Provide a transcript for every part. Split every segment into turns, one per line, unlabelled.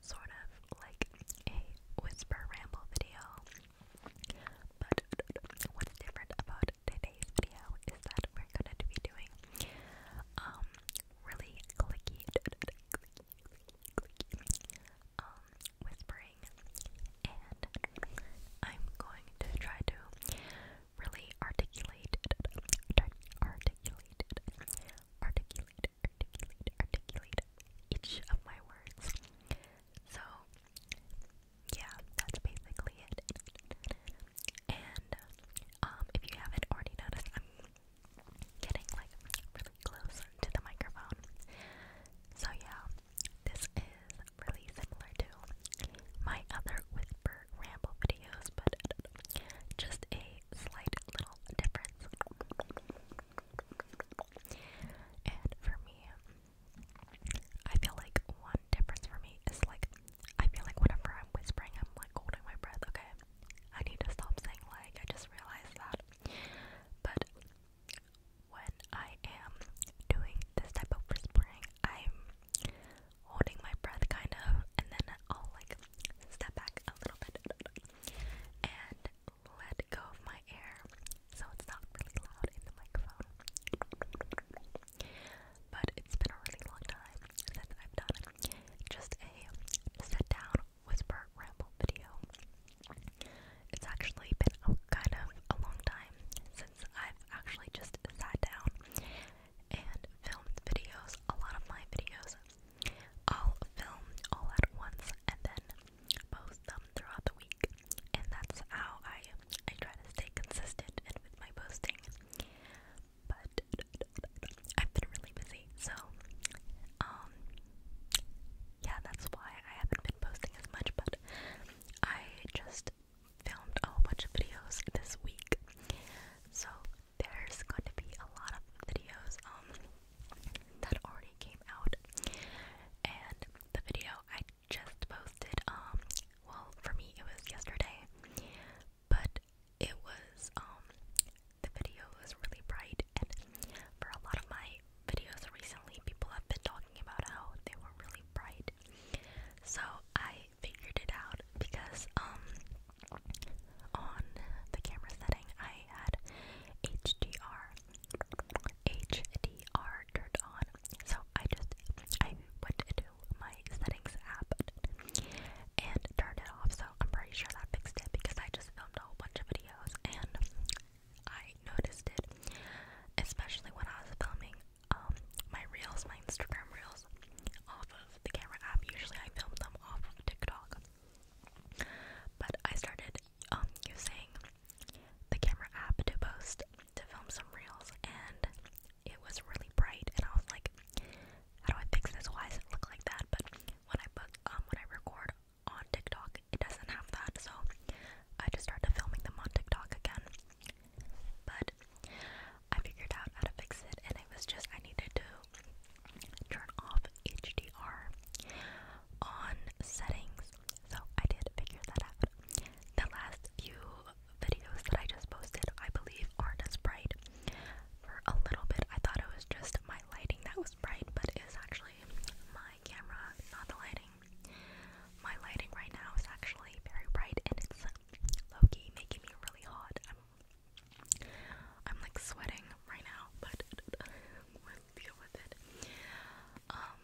sort of like a whisper ramble video. But what's different about today's video is that we're going to be doing um really clicky, um whispering and I'm going to try to really articulate articulate articulate articulate, articulate, each of my words. So, yeah, that's basically it. And um, if you haven't already noticed, I'm getting like really close to the microphone. So, yeah, this is really similar to my other whisper ramble videos, but just a slight little difference. And for me, I feel like one difference for me is like, I feel like whenever I'm whispering, I'm like holding my breath, okay? I need to stop saying like, I just realized that. But when I am doing this type of whispering, I'm holding my breath kind of, and then I'll like step back a little bit and let go of my air so it's not really loud in the microphone. But it's been a really long time since I've done just a sit down whisper ramble video. It's actually been a, kind of a long time since I've actually just sat down and filmed videos. A lot of my videos I'll all at once and then post them throughout the week. And that's how I I try to stay consistent with my posting. But I've been really busy, so um yeah, that's why I haven't been posting as much, but I just filmed a bunch of videos this week. So there's going to be a lot of videos um that already came out and the video I just posted um well for me it was yesterday but it was um the video was really bright and for a lot of my videos recently people have been talking about how they were really bright so I figured it out because um on the camera setting, I had HDR, HDR turned on. So I just I went into my settings app and turned it off. So I'm pretty sure that fixed it because I just filmed a whole bunch of videos and I noticed it, especially when I was filming um my reels, my Instagram reels off of the camera app. Usually I film them off of TikTok. But I started um, using the camera app to post to film some reels and it was really bright and I was like how do I fix this? Why does it look like that? But when I put um when I record on TikTok it doesn't have that so I just started filming them on TikTok again. But I figured out how to fix it and it was just I needed to turn off HDR on settings. So I did figure that out. The last few videos that I just posted, I believe, aren't as bright. For a little bit, I thought it was just my lighting that was bright, but it's actually my camera, not the lighting. My lighting right now is actually very bright and it's low making me really hot. I'm like sweating right now, but we'll deal with it. Um,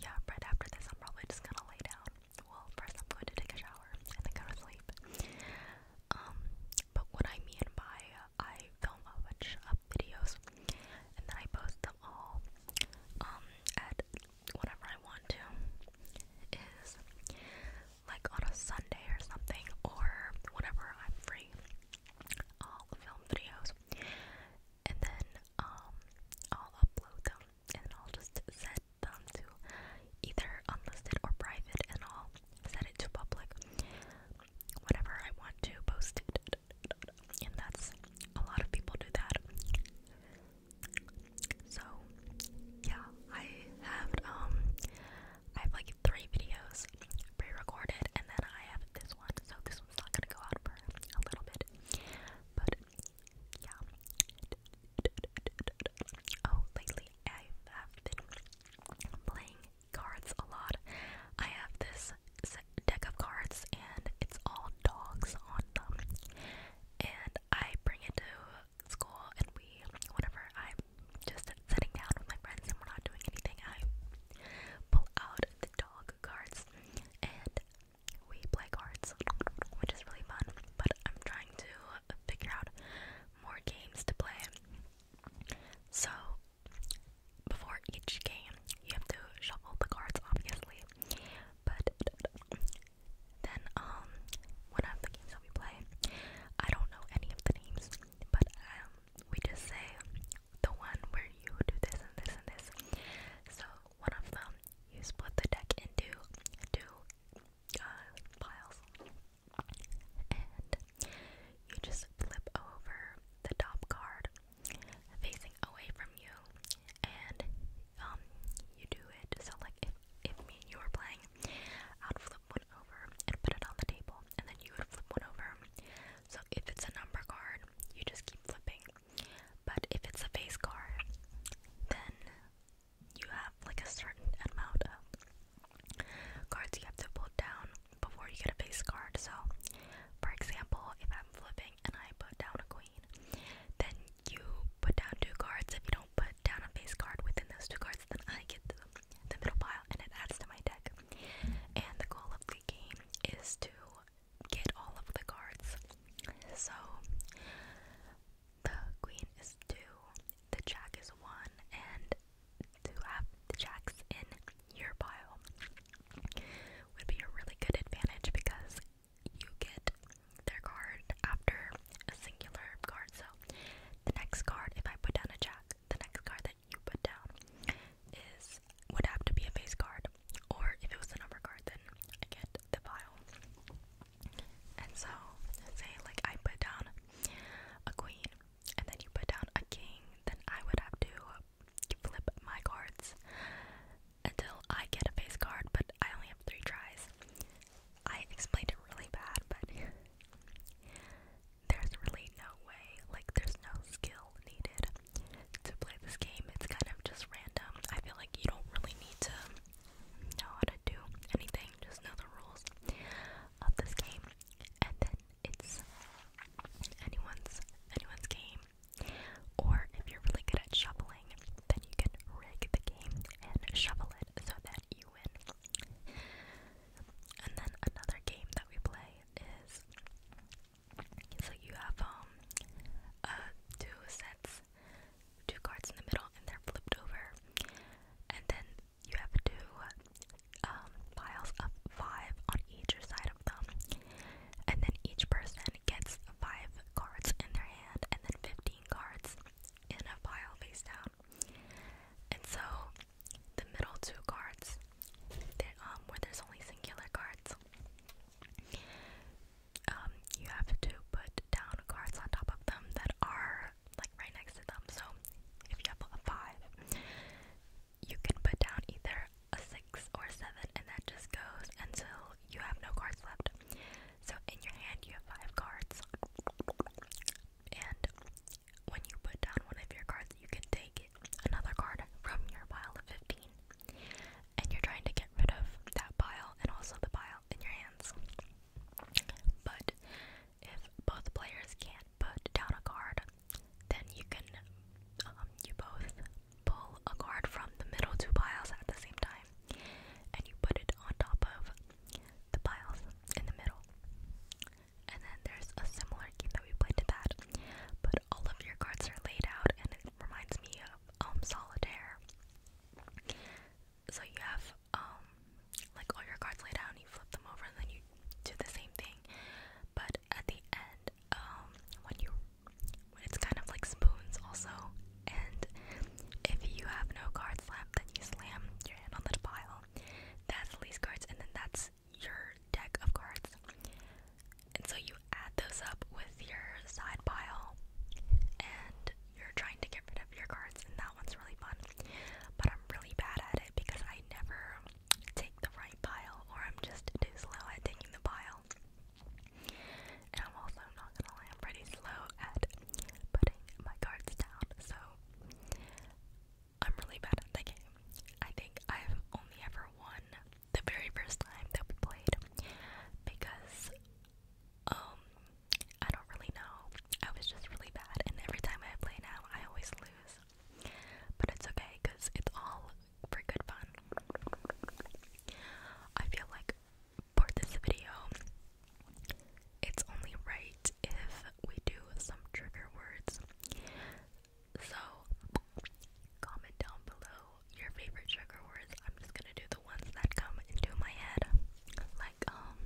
yeah, right after this, I'm probably just gonna lay down. Well, first, I'm going to take a shower and then go to sleep. Um, but what I mean by uh, I film a bunch of videos and then I post them all, um, at whatever I want to, is like on a Sunday or something, or whenever I'm free, I'll film videos and then um, I'll upload them and I'll just set them to either unlisted or private and I'll set it to public whenever I want to post it. And that's a lot of people do that. So yeah, I have um I have like three videos pre-recorded, and then I have this one, so this one's not gonna go out for a little bit. But yeah. Oh, lately I have been playing cards a lot. I have this deck of cards, and it's all dogs on them, and I bring it to school, and we, whenever I'm just sitting down with my friends and we're not doing anything, I pull out the dog cards and we play cards, which is really fun. But I'm trying to figure out more games to play. So, before each game, you have to shuffle the cards, obviously. But then, um, one of the games that we play, I don't know any of the names, but um, we just say the one where you do this and this and this. So one of them, you split the deck into two uh, piles, and you just flip over the top card facing away from you, and um, you do it. So like if if me and you were playing, I'd flip one over and put it on the table, and then you would flip one over. So if it's a number card, you just keep flipping. But if it's a face card, then you have like a certain amount of cards you have to pull down before you get a face card. So, for example, if I'm flipping and I put down a queen, then you put down two cards. If you don't put down a face card within those two cards, then I get the the middle pile, and it adds to my deck. And the goal of the game is to get all of the cards. So the queen is two, the jack is one, and to have the jacks in your pile would be a really good advantage because you get their card after a singular card. So the next card, if I put down a jack, the next card that you put down is would have to be a face card, or if it was a number card, then I get the file. And so, say like I put down a queen, and then you put down a king, then I would have to flip my cards until I get a face card, but I only have three tries. I explained it really bad, but there's really no way, like, there's no skill needed to play this game. It's kind of just random. I feel like you don't really need to know how to do anything, just know the rules of this game. And then it's anyone's anyone's game. Or if you're really good at shoveling, then you can rig the game and shovel it so that you win. And then another game that we play is so you have um uh, two sets, two cards in the middle, and they're flipped over, and then you have two um, piles of five on each side of them, and then each person gets five cards in their hand, and then fifteen cards in a pile face down. And so the middle two cards, that, um, where there's only singular cards, um, you have to put down cards on top of them that are like right next to them. So if you have a five, you can put down either a six or a seven, and that just goes until you have no cards left. So in your hand, you have five cards, and when you put down one of your cards, you can take another card from your pile of 15. And you're trying to get rid of that pile and also the pile in your hands. But if both players can't put down a card, then you can, um, you both pull a card from the middle two piles at the same time and you put it on top of the piles in the middle and then there's a similar game that we played to that, but all of your cards are laid out, and it reminds me of um solitaire. So you have um like all your cards laid out, and you flip them over, and then you do the same thing. But at the end, um, when you when it's kind of like spoons also, and if you have no cards left, then you slam your hand on the pile. That's the least cards, and then that's your deck of cards. And so you add those up with your side pile and you're trying to get rid of your cards and that one's really fun. But I'm really bad at it because I never take the right pile or I'm just too slow at taking the pile. And I'm also not gonna lie, pretty slow at putting my cards down, so I'm really bad at the game. I think I've only ever won the very first time that we played because um I don't really know. I was just really bad and every time I play now I always lose. But it's okay cuz it's all for good fun. I feel like for this video it's only right if we do some trigger words so, comment down below your favorite trigger words. I'm just gonna do the ones that come into my head, like um,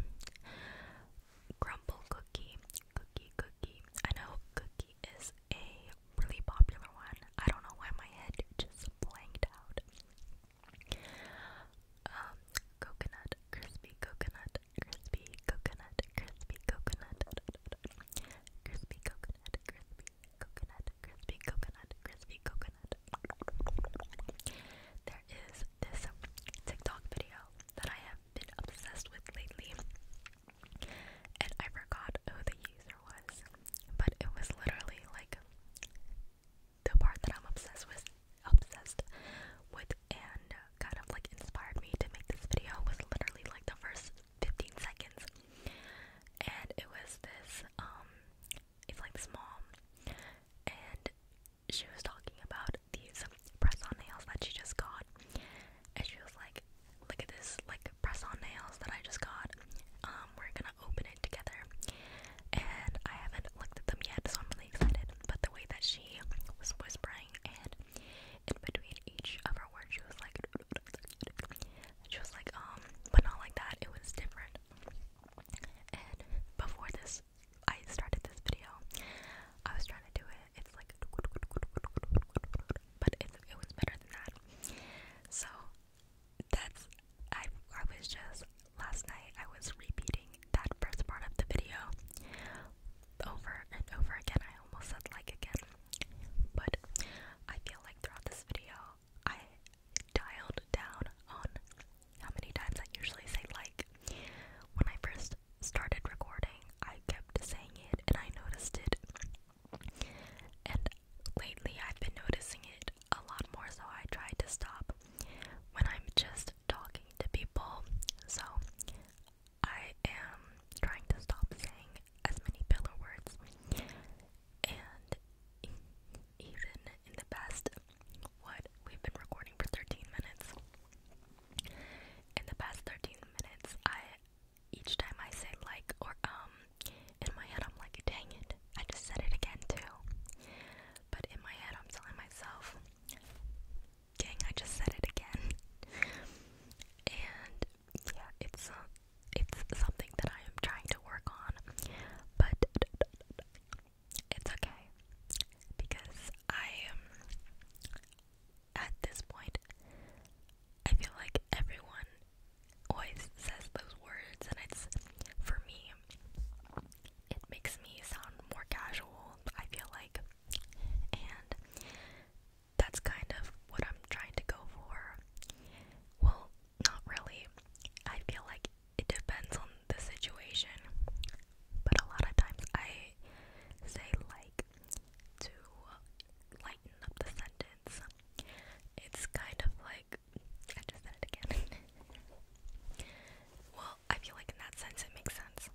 crumble cookie, cookie, cookie. I know cookie is a really popular one. I don't know why my head just blanked out. Um, coconut, crispy coconut, crispy coconut, crispy coconut, crispy coconut, crispy coconut, crispy coconut, crispy coconut. There is this TikTok video that I have been obsessed with lately, and I forgot who the user was, but it was literally like the part that I'm obsessed with obsessed with and uh, kind of like inspired me to make this video was literally like the first 15 seconds. And it was this, um, it's like this mom, and she was talking about these press on nails that she just got. And she was like, Look at this, like, press on nails that I just got. Um, we're gonna open it together. And I haven't looked at them yet, so I'm really excited. But the way that she was whispering and in between each of her words, she was like, she was like, um, but not like that. It was different. And before this, I started this video. I was trying to do it. It's like, but it, it was better than that. So that's I. I was just last night. I was repeating that first part of the video over and over again. I almost said like again, but I feel like throughout this video, I dialed down on how many times I usually say like. When I first started recording, I kept saying it and I noticed it. And lately, I've been noticing it a lot more, so I tried to stop when I'm just talking to people. So I am trying to stop saying as many filler words, and even in the past, what we've been recording for 13 minutes. In the past 13 minutes, I each time I say like or um, in my head I'm like, dang it, I just said it again too. But in my head, I'm telling myself, Dang, I just said it again. And yeah, it's uh, it's something that I am trying to work on, but it's okay because I am at this point. I feel like everyone always says those words, and it's for me. It makes me sound more casual. I feel like and that's kind of what I'm trying to go for. Well, not really. I feel like it depends on the situation, but a lot of times I say like to lighten up the sentence. It's kind of like I just said it again. well, I feel like in that sense it makes sense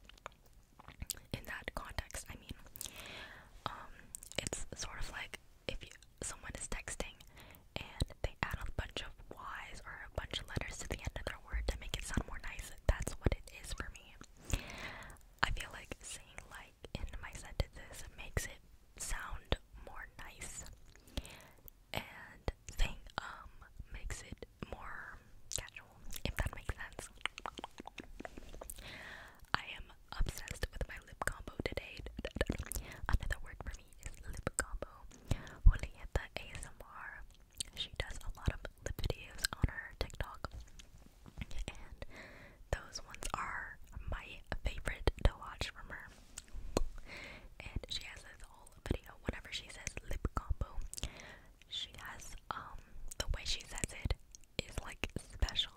in that context, I mean, um, it's sort of like if you, someone is texting and they add a bunch of Y's or a bunch of letters to the end of their word to make it sound more nice, that's what it is for me. I feel like saying like in my sentences makes it sound more nice, and saying um makes it more casual, if that makes sense. I am obsessed with my lip combo today. Another word for me is lip combo. Julieta ASMR. She does a lot of lip videos on her TikTok. And those ones are my favorite to watch from her. And she has this whole video whenever she says lip combo. She has, um, the way she says it is like special.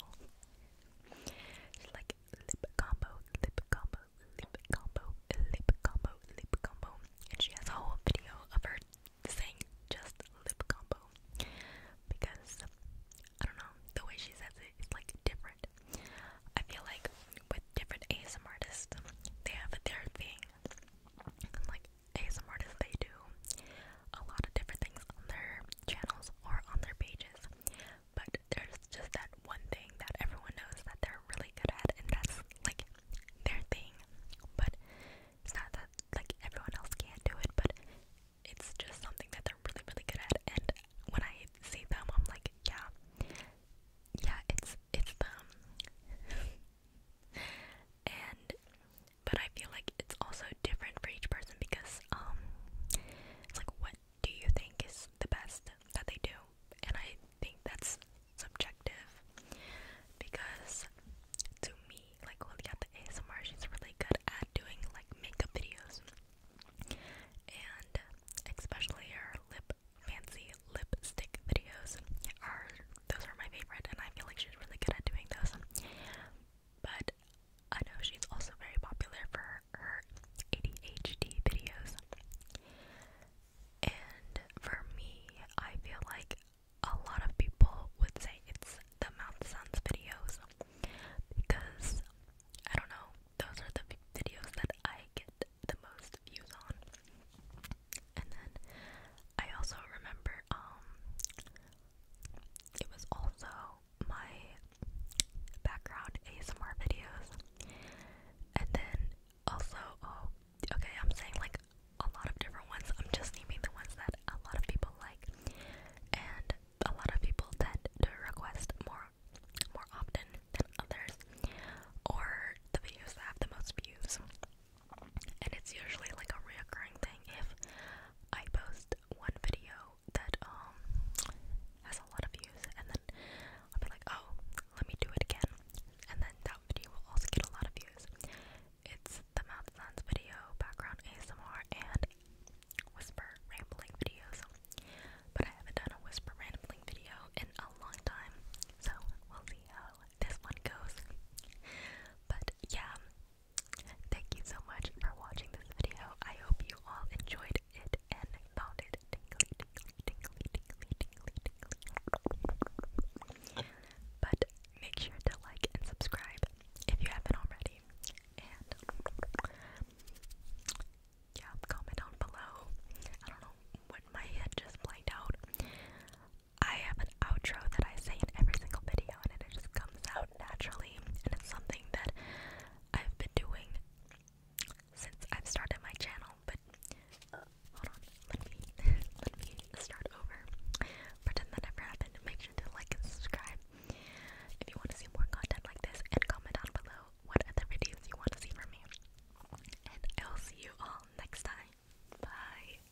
She's like lip combo, lip combo, lip combo, lip combo, lip combo. And she has a whole video of her saying just lip combo. Because, I don't know, the way she says it is like different. I feel like with different ASM artists, they have their thing. Like, ASM artists, they do a lot of different things on their channels or on their pages, but there's just that one thing that everyone knows that they're really good at, and that's like their thing. But it's not that like everyone else can't do it, but it's just something that they're really, really good at. And when I see them, I'm like, yeah, yeah, it's it's them. and but I feel like it's also different for each person because um it's like what do you think is the best that they do? And I think that's subjective because to me, like the ASMR, she's really good at doing like makeup videos and especially her lip fancy lipstick videos are those are my favorite, and I feel like she's really good at doing those. But I know she's also very popular for her ADHD videos. And for me, I feel like a lot of people would say it's the Mount sounds videos because I don't know, those are the videos that I get the most views on. And then I also remember um it was also my background ASMR videos. And then also, oh, okay, I'm saying like a lot of different ones. I'm just naming the ones that a lot of people like. And a lot of people tend to request more more often than others. Or the videos that have the most views and it's usually like a reoccurring thing if I post one video that um has a lot of views and then i am like, oh, let me do it again and then that video will also get a lot of views. It's the mouth sounds video, background ASMR and whisper rambling videos. But I haven't done a whisper rambling video in a long time. So we'll see how this one goes. But yeah, Thank you so much for watching this video. I hope you all enjoyed it and found it tingly, tingly, tingly, tingly, tingly, tingly. But make sure to like and subscribe if you haven't already. And yeah, comment down below. I don't know when my head just blanked out. I have an outro that I say in every single video, and it just comes out naturally, and it's something that I've been doing since I've started my channel. But hold on, let me let me start over. Pretend that never happened. Make sure to like and subscribe if you want to see more content like this, and comment down below what other videos you want to see from me. And I'll see you all next time. Bye.